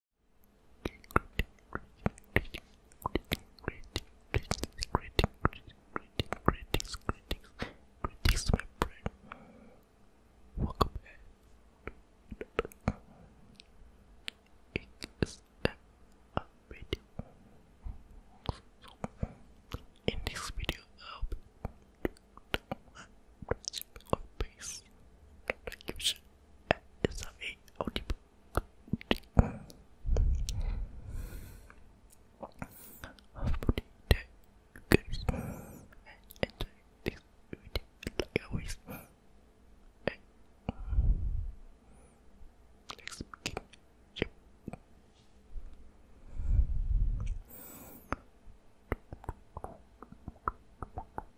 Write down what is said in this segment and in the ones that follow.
greetings, greetings, greetings, my friend. Welcome back. It is a video. in this video, I'll be doing a face like you SRA audiobook hopefully that you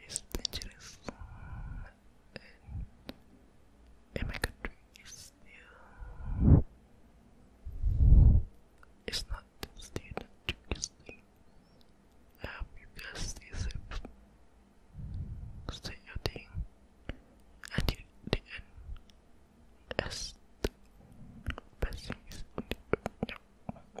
It's dangerous and my country is still it's not still the trickiest I hope you guys stay safe. Stay your thing until the end. As the best thing is only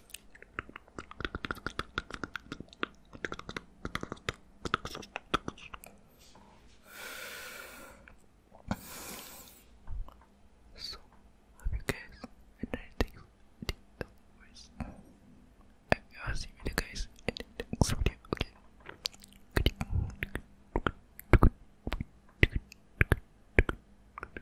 So, have you guys had the voice? I will see you guys in the next video, okay?